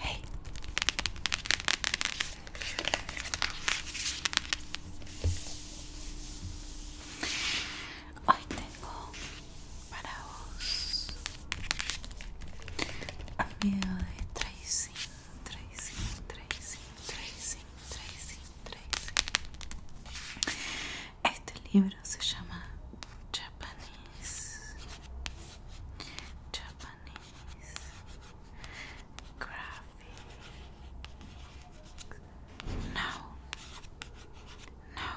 Hey. Hoy tengo para vos a medio de três tracing, três tracing, três tracing, Este libro se llama Japanese Japanese Graphics No No No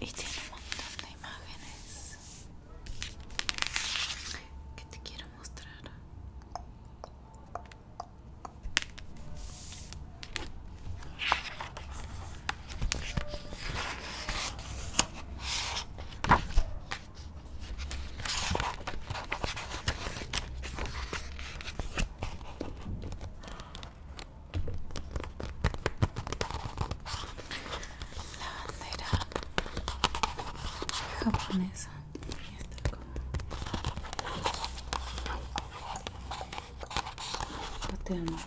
y tiene un montón de imágenes que te quiero mostrar la bandera japonesa está como amo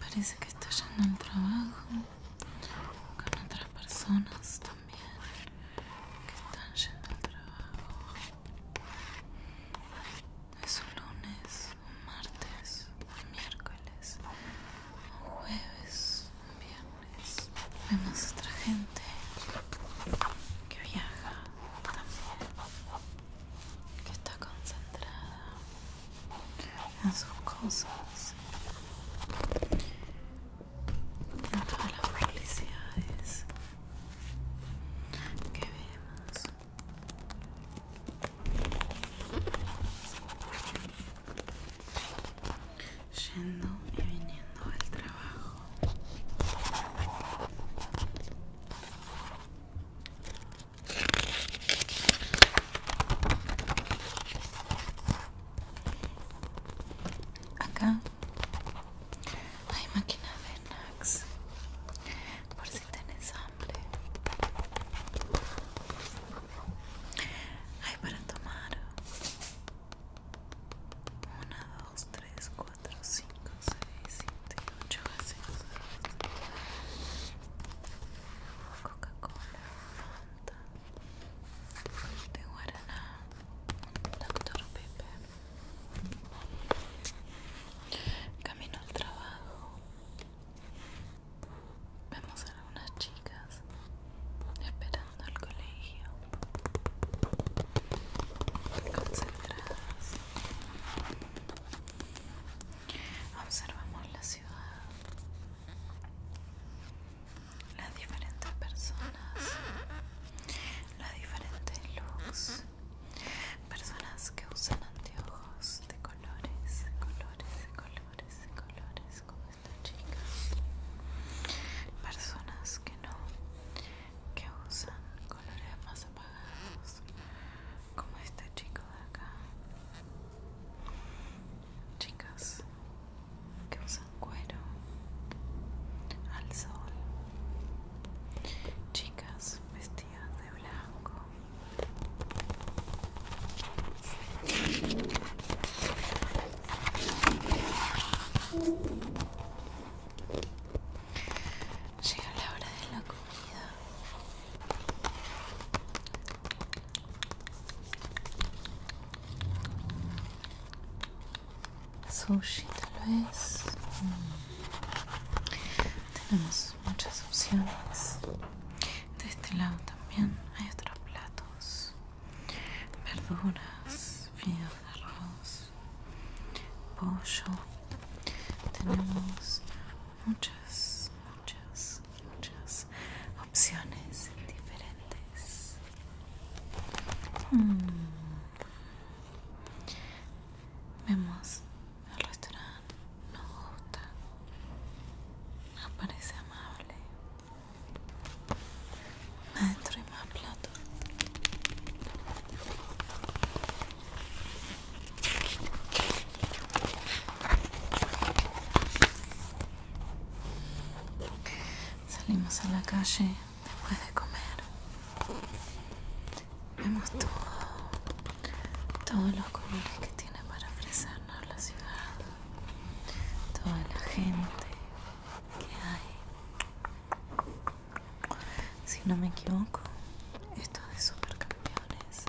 Parece que está yendo al trabajo con otras personas también que están yendo al trabajo. Es un lunes, un martes, un miércoles, un jueves, un viernes. Vemos otra gente que viaja también, que está concentrada a sus cosas a todas las publicidades que vemos yendo y viniendo al trabajo Acá hay máquina de Nax por si tenés hambre. Hay para tomar. una dos, tres, cuatro, cinco, seis, siete mucho Coca-Cola, Fanta de Guaraná, doctor Pepper Camino al trabajo Vemos a algunas chicas esperando al colegio, concentradas, Observamos la ciudad, las diferentes personas, las diferentes looks, personas que usan anteojos de colores, colores, colores, colores, como esta chica, personas que no, que usan colores más apagados como este chico de acá chicas que usan cuero al sol chicas vestidas de blanco Llega la hora de la comida. Sushi tal es. Mm. Tenemos muchas opciones. De este lado también hay otros platos. Verduras, fideos de arroz, pollo tenemos muchas, muchas, muchas opciones diferentes. Hmm. Vemos el restaurante, nos gusta, nos parece amable. Adentro y más plato. Salimos a la calle después de comer. Vemos todo, todos los colores que tiene para ofrecernos la ciudad, toda la gente que hay si no me equivoco esto de supercampeones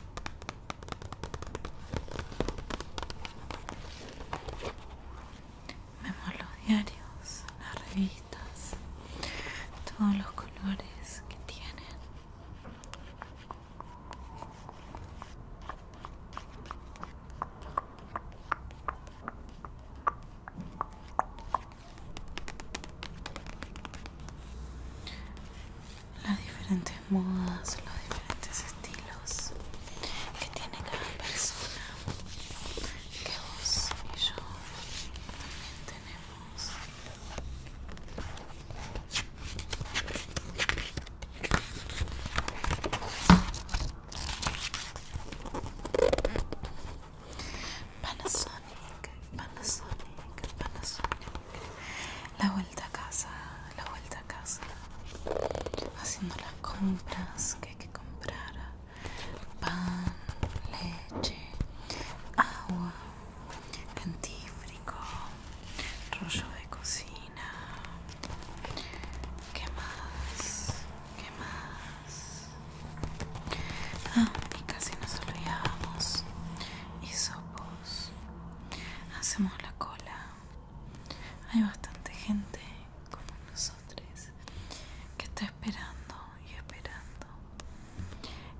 vemos los diarios las revistas todos los colores que tienen las diferentes modas, los diferentes estilos que tiene cada persona, que vos y yo también tenemos. Panasonic, Panasonic, Panasonic. La vuelta a casa, la vuelta a casa. Haciendo las compras que hay que comprar. Pan, leche, agua, Cantífrico, rollo de cocina. ¿Qué más? ¿Qué más? Ah, y casi nos olvidamos. sopos Hacemos la cola. Hay bastante gente como nosotros que está esperando y esperando.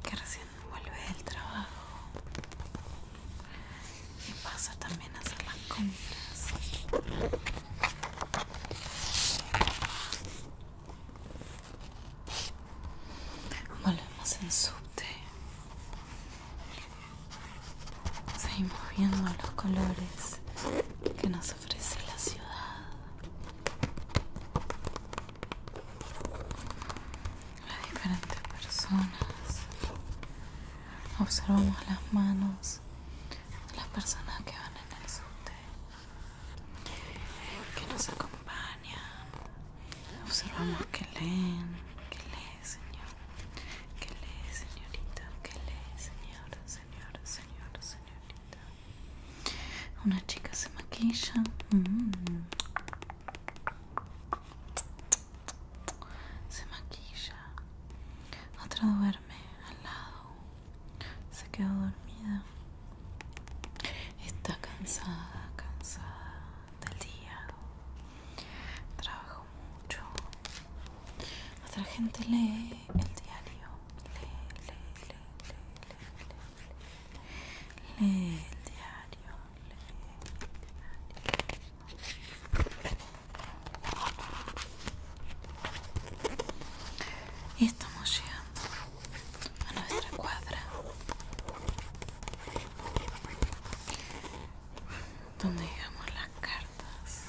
Que recién vuelve del trabajo. Y pasa también a hacer las compras. Volvemos en subte. Seguimos viendo los colores que nos ofrece la ciudad. Las diferentes personas. Observamos las manos de las personas que van en el subte que nos acompaña. Observamos que leen, que lee, señor, que lee, señorita, que lee, señor, señor, señor, señorita. Una chica se maquilla. Mm. Se maquilla. Otra duerme al lado se quedó dormida. Está cansada, cansada del día. Trabajo mucho. Otra gente lee el diario. Lee, lee, lee, lee, lee, lee, lee, el diario. Lee el diario. Y estamos llegando a nuestra cuadra donde dejamos las cartas,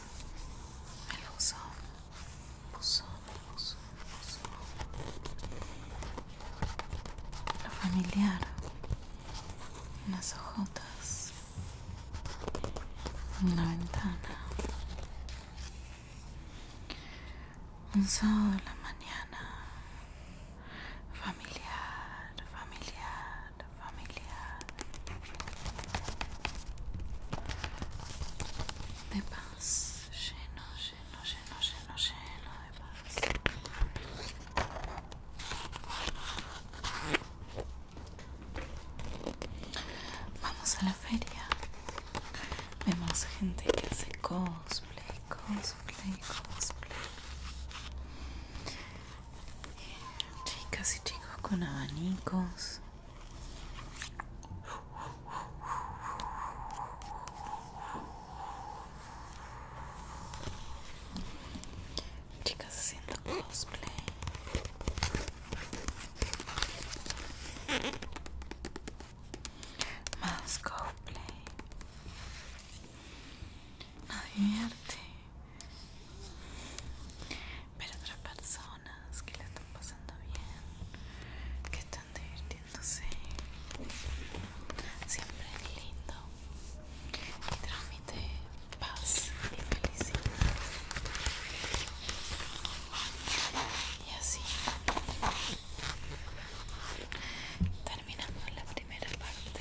el buzón, buzón, buzón, buzón, lo familiar, unas hojotas, una ventana. Un sábado en la mañana. Familiar, familiar, familiar. De paz. Lleno, lleno, lleno, lleno, lleno de paz. Vamos a la feria. Vemos gente que hace cosplay, cosplay, cosplay. Chicas y chicos con abanicos. Chicas haciendo cosplay. Más play. No divierte. Ver otras personas que la están pasando bien, que están divirtiéndose. Siempre es lindo. Y transmite paz y felicidad y así terminamos la primera parte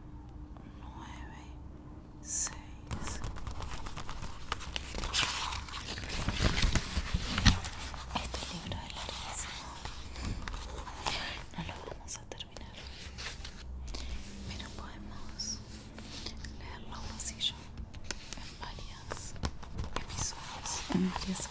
9 6 Este libro es larguísimo. No lo vamos a terminar. Pero podemos leerlo así yo en varias episodios, en varias oportunidades. ¿Te gusta?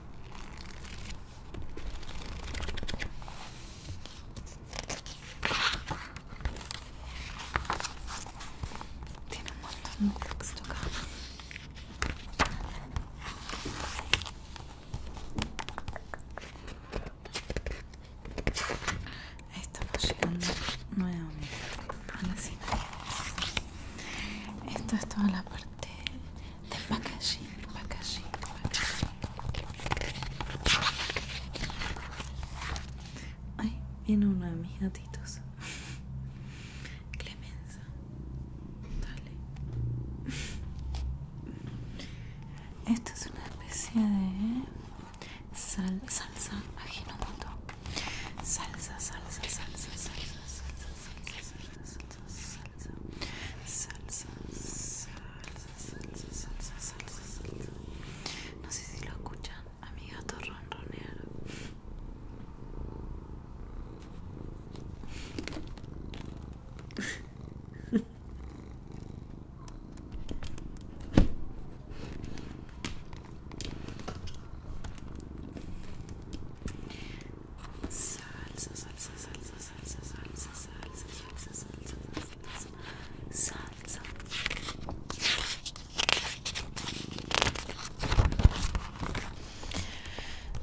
Tiene un montón de texto acá. Estamos llegando nuevamente a la imágenes. Esto es toda la parte de packaging, Ay, viene uno de mis gatitos. Clemenza. Dale. Esto es una especie de salsa ajinomoto salsa, salsa, salsa, salsa, salsa, salsa, salsa, salsa, salsa, salsa, salsa, salsa, salsa. No sé si lo escuchan, a mi gato ronronear. Salsa, salsa, salsa, salsa, salsa, salsa, salsa, salsa, salsa, salsa.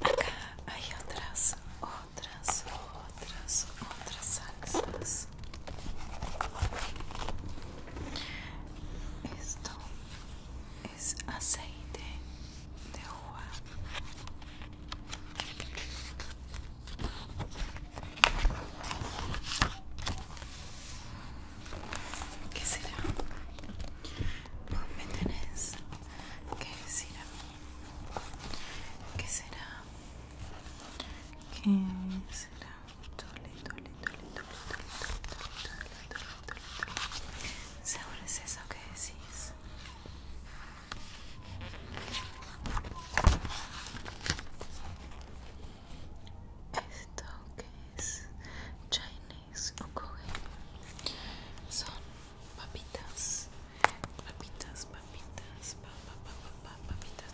Acá hay otras, otras, otras, otras salsas. Esto es aceite de uva ¿Qué será? Vos me tenés que ¿Qué será? ¿Qué será? ¿Seguro es eso que decís? Esto que es Chinese Okoge son papitas, papitas, papitas, pa, papitas.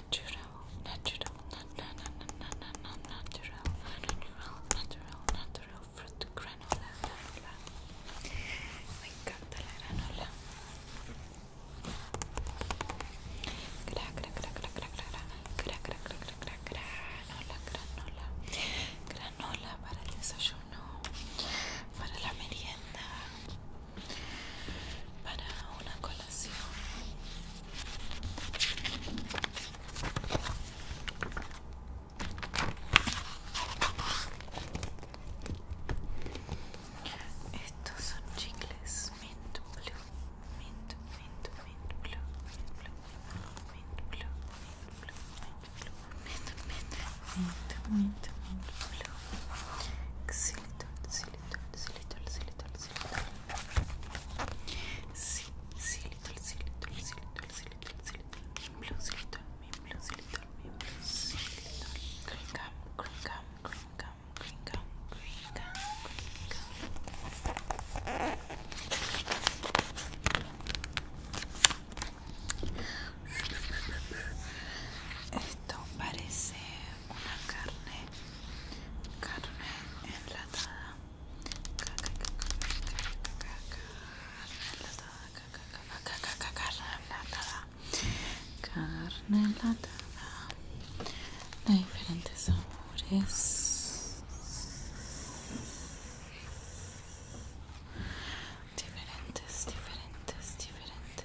natural, natural, natural, natural, natural, natural granola, granola. Me encanta la granola. granola, granola, granola para el desayuno, para la merienda, para una colación. Estos son chicles mint blue, mint, mint, mint blue, mint blue, mint blue, mint blue, mint mint blue, esto parece una carne carne enlatada carne enlatada carne enlatada carne enlatada de diferentes sabores diferentes diferentes diferentes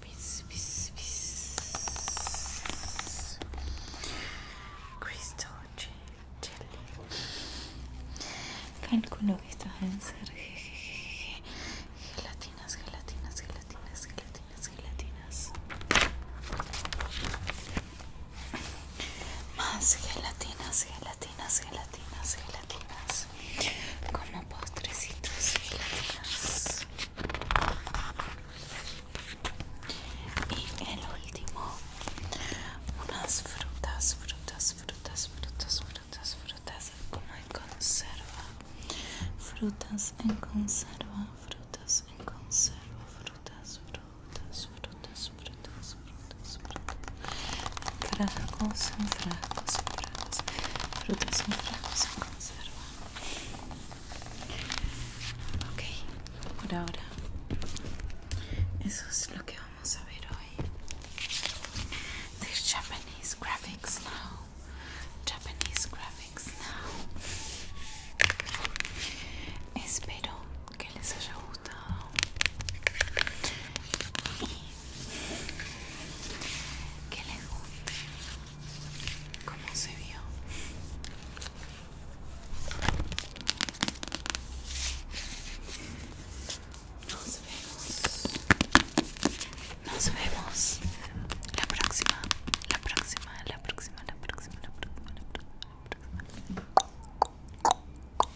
Pis, pis, Crystal Calculo que estos deben ser gelatinas, gelatinas, gelatinas, gelatinas, gelatinas. Más gelatinas, gelatinas, gelatinas, gelatinas. Como postrecitos, gelatinas y el último unas frutas frutas frutas frutas frutas frutas como en conserva frutas en conserva frutas en conserva frutas frutas frutas frutas frutas frutas frascos en frascos en frutas en conserva Ok, por ahora eso es lo que vamos a ver hoy. Japanese graphics now. Japanese graphics now. Espero que les haya gustado y que les guste ¿Cómo se vio? Nos vemos. Nos vemos. La próxima. La próxima. La próxima. La próxima. La próxima. La próxima. La próxima.